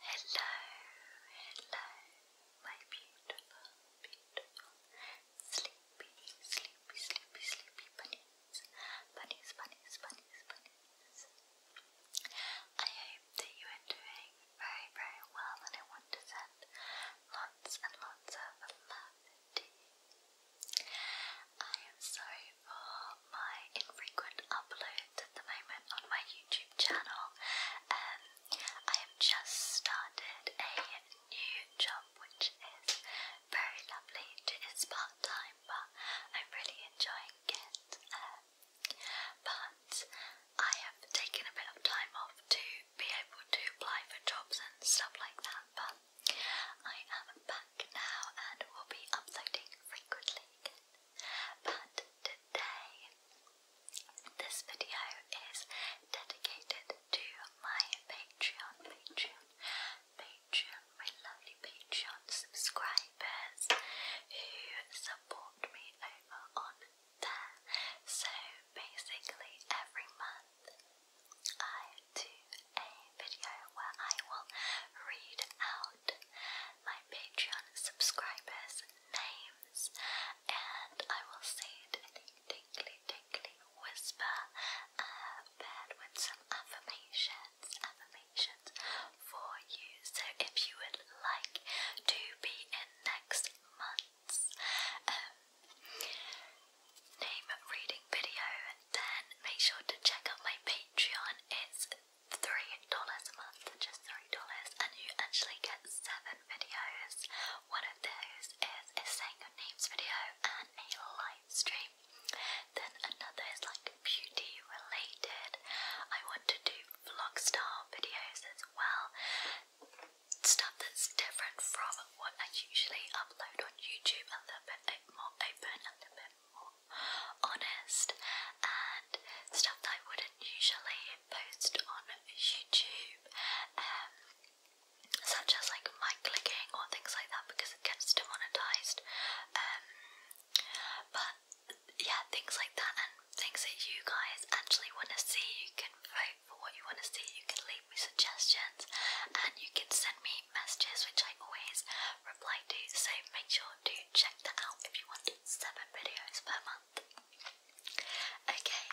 Hello, hello, my beautiful, beautiful, sleepy, sleepy, sleepy, sleepy bunnies, bunnies, bunnies, bunnies, bunnies. I hope that you are doing very, very well, and I want to send lots and lots of love to you. I am sorry for my infrequent uploads at the moment on my YouTube channel. Um, I have just started a new job which is very lovely. It is part time but I'm really enjoying it. Um, but I have taken a bit of time off to be able to apply for jobs and stuff like that but I am back now and will be uploading frequently again. But today, this video is dedicated to my Patreon, Patreon, Patreon, my lovely Patreon subscribers who support me over on there. So basically, every month I do a video where I will read out my Patreon subscribers' names, and I will say it in a tingly, tingly whisper, uh, paired with some affirmations, affirmations for you. So if you would like to be in next month's um, name reading video, then make sure to check out my Patreon. It's three dollars a month, just three dollars, and you actually get seven videos. One of those is a saying your names video and a live stream. Then another is like beauty related. I want to do vlog style videos as well. Stuff that's different from what I usually upload on YouTube, a little bit more open, a little bit more honest and stuff that I wouldn't usually post on YouTube, um, such as like my clicking or things like that because it gets demonetized. Um, but yeah, things like that and things that you guys actually want to see, you can vote for what you want to see, you can leave me suggestions, and you can send me messages which I always reply to. So make sure to check that out if you want seven videos per month. Okay,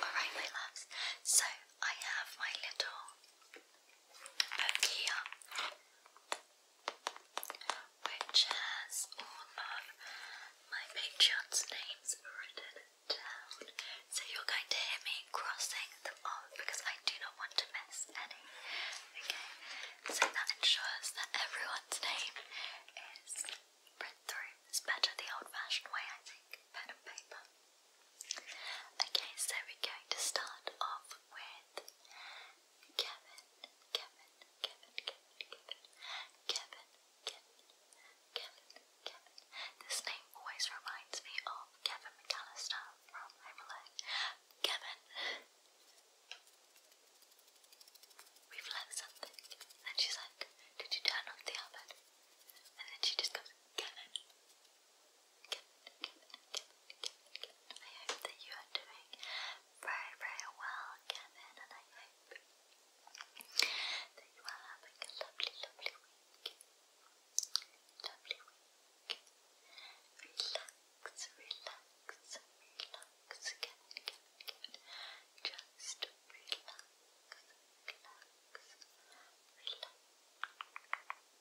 alright, my loves. So I have my little book here, which has all of my Patreon's names written down. So you're going to hear me crossing them off because I do not want to miss any. Okay, so that ensures that everyone's name is read through. It's better the old fashioned way, I think, pen and paper. Okay, so we're going to start off with Kevin, Kevin, Kevin, Kevin, Kevin, Kevin, Kevin, Kevin, This name always reminds me of Kevin McAllister from Home Kevin, We've left something. And she's like, Did you turn off the oven? And then she just goes, Kevin. I hope that you are doing very, very well, Kevin. And I hope that you are having a lovely, lovely week. Lovely week relax, relax again and again and again. Just relax, relax, relax.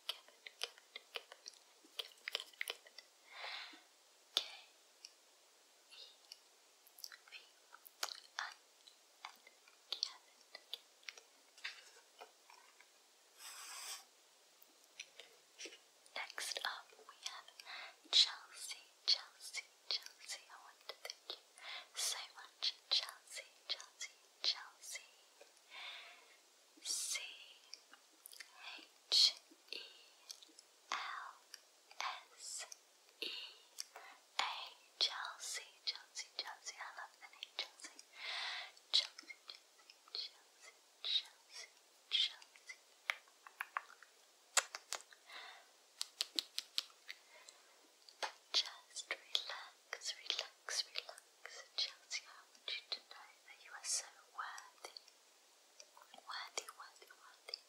Give it, give it, give it, give it, give it, give it. K E V I N. Give it, give it. Next up, we have Chelsea, Chelsea, Chelsea. I want to thank you so much, Chelsea, Chelsea, Chelsea. C H E L S E A Chelsea, Chelsea, Chelsea. I love the name Chelsea. Chelsea, Chelsea, Chelsea, Chelsea. Just relax, relax, relax. Chelsea, I want you to know that you are so worthy. Worthy, worthy, worthy.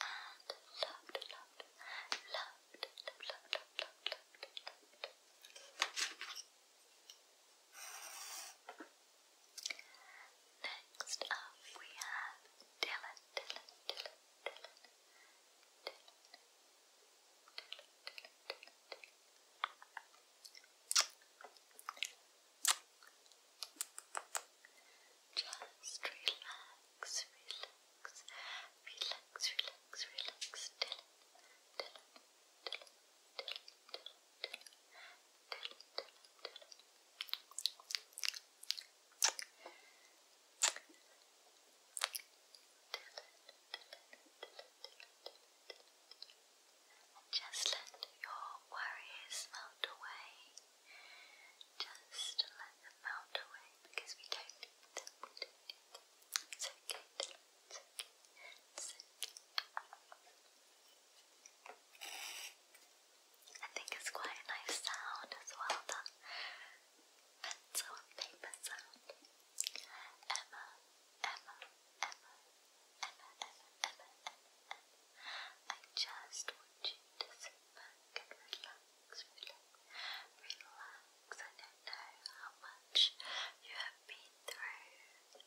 And loved, loved, loved, loved, loved, loved, loved, loved, loved. Next up, we have Dylan, Dylan, Dylan, Dylan, Dylan, Dylan, Dylan, Dylan, Dylan. Just relax, relax, relax, relax, relax, Dylan, Dylan, Dylan, Dylan, Dylan. And just let your worries melt away. Just let them melt away because we don't need them. We don't need them. It's okay. It's okay. It's okay. I think it's quite a nice sound as well, that pencil paper sound. Emma, Emma, Emma, Emma, Emma, Emma, Emma, I just want you to sit and relax, relax, relax. I know how much you have been through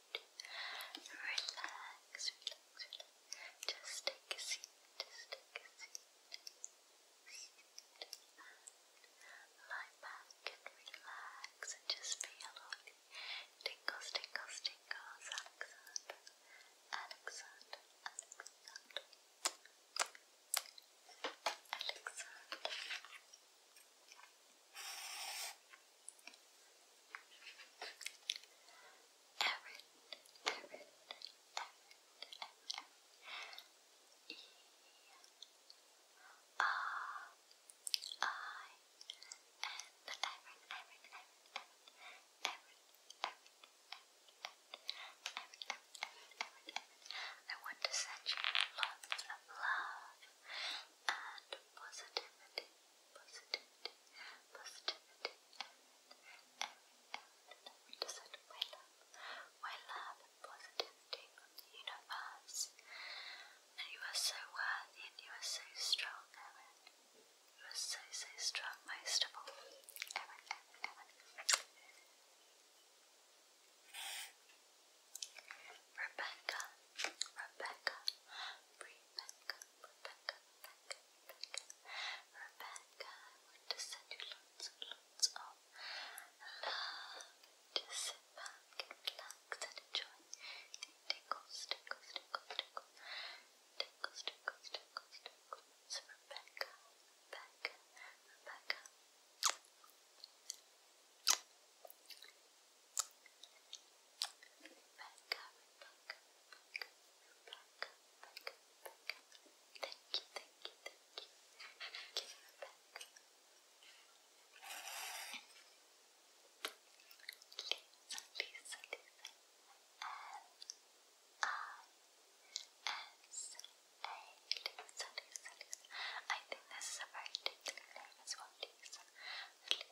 relax, relax. Just take a seat, just take a seat. And lie back and relax and just feel all the tingles, tingles, tingles. Alexander, Alexander, Alexander. Alexander. Alexander. Erin, I want to send you lots of love and positivity positivity, positivity, and every every descent of my love, my love positivity from the universe. And you are so worthy and you are so strong, Erin. You are so, so strong, most of all. Erin, Rebecca, Rebecca, Rebecca, Rebecca, Rebecca, Rebecca, I want to send you lots lots of love. Just sit back and relax and enjoy. Tinkles, tinkles, tinkles, tinkles. Tinkles, tinkles, tinkles, tinkles. Rebecca, Rebecca, Rebecca. Rebecca, Rebecca, Rebecca, Rebecca, Rebecca, Rebecca. Thank you, thank you, thank you. Thank you, Rebecca. Lisa, Lisa, Lisa. L-I-S-A. Lisa, Lisa, Lisa. I think this is a very different name as well, Lisa. Lisa.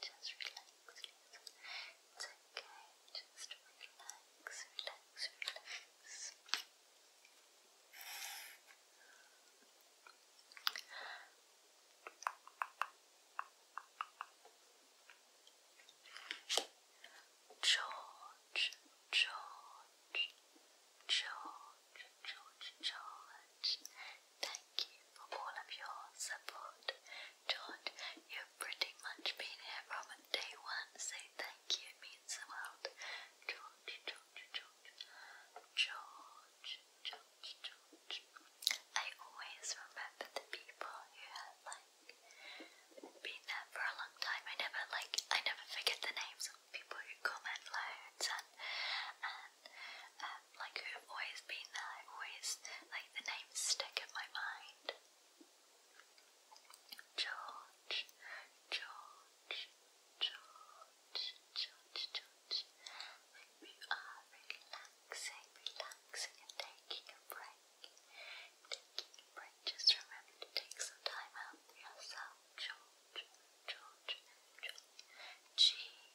just relax, George, George, George, George, George, Thank you for all of your support. George, you've pretty much been here from day one, so thank you, means the world. George, George, George, George, George, George. I always remember the people who have like been there for a long time. I never like I never forget the names of people who comment loads and um, like who have always been there, i always, like the names stick in my mind. George, George, George, George, George. we are ah, relaxing, relaxing and taking a break, taking a break, just remember to take some time out for yourself, George, George, George. G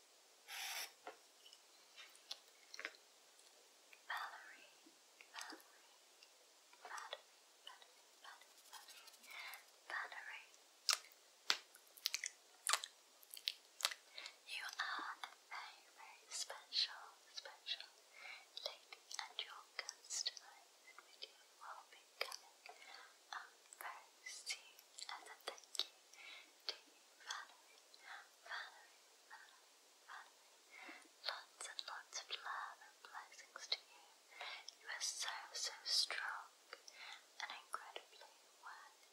Valerie, Valerie, Valerie, Valerie, Valerie, You are a very special, special lady, and your guest tonight with you will be coming um, first thank you to Valerie, Valerie, Valerie, Lots and lots of love and blessings to you. You are so, so strong and incredibly worthy,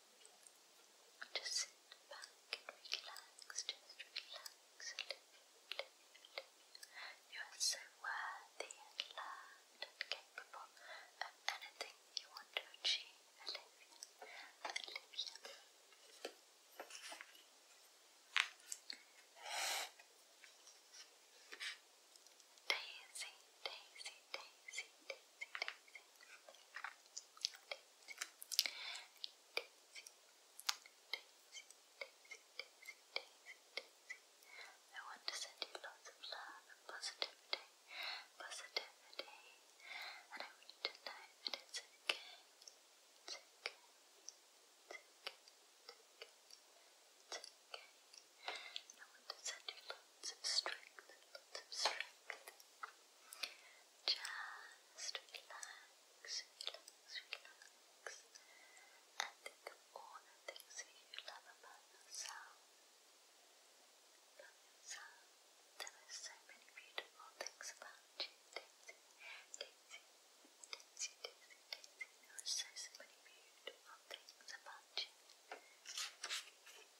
Just sit back and relax, just relax a little, little, little. You are so worthy and loved and capable of anything you want to achieve, Olivia. Olivia. Daisy, Daisy, Daisy, Daisy, I want to send you lots of love and positivity, positivity, and I want to send you subtract, subtract. Just relax, relax, relax. And think of all the things that you love about yourself. Love yourself. There are so many beautiful things about you, Daisy. Daisy, Daisy, Daisy, Daisy. There are so, many beautiful things about you. relax, relax, relax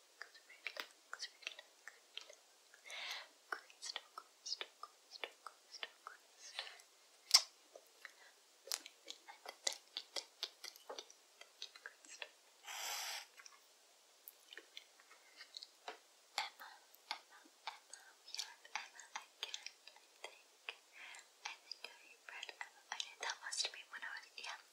relax, crystal, crystal, crystal, crystal, crystal. And thank you, thank you, thank you, thank you, crystal. Emma, Emma, Emma, we have Emma again, I think. I think I read Emma. Okay, that must have been when I was, yeah.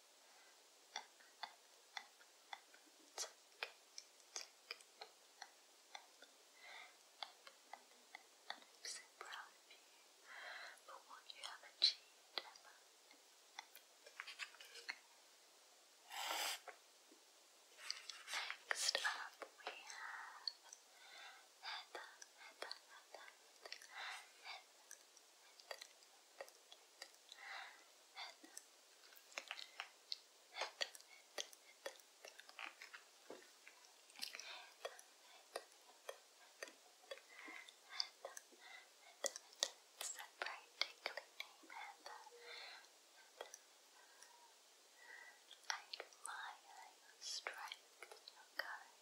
It's okay. It's okay. And I'm so proud of you for what you have achieved, Emma. Next up, we have Heather, Heather, Heather, Heather, Heather, it's a bright tickling name, Heather. I admire your strength and your courage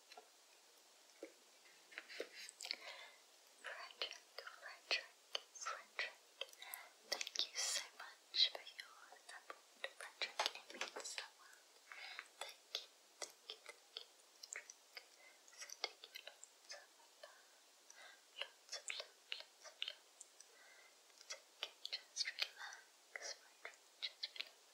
Frederick, Frederick, Frederick, thank you so much for your support, Frederick. It means so much. Thank you, thank you, thank you, Frederick. Sending you lots of love, lots of love, lots of love. It's okay, just relax, Frederick, just relax.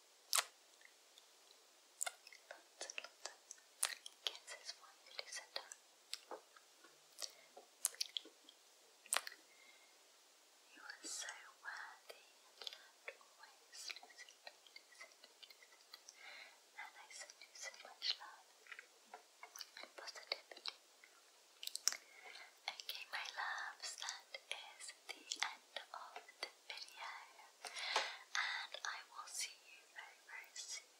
Lots you, are so worthy and loved always, And I send you so much love and positivity. Okay, my loves, that is the end of the video. And I will see you very, very soon.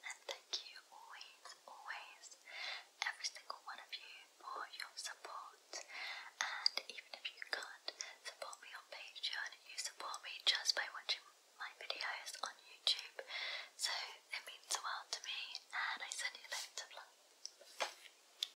And thank you always, always, every single one of you for your support. And even if you can't support me on Patreon, you support me just by watching my videos on YouTube. So it means the world to me, and I send you loads of love.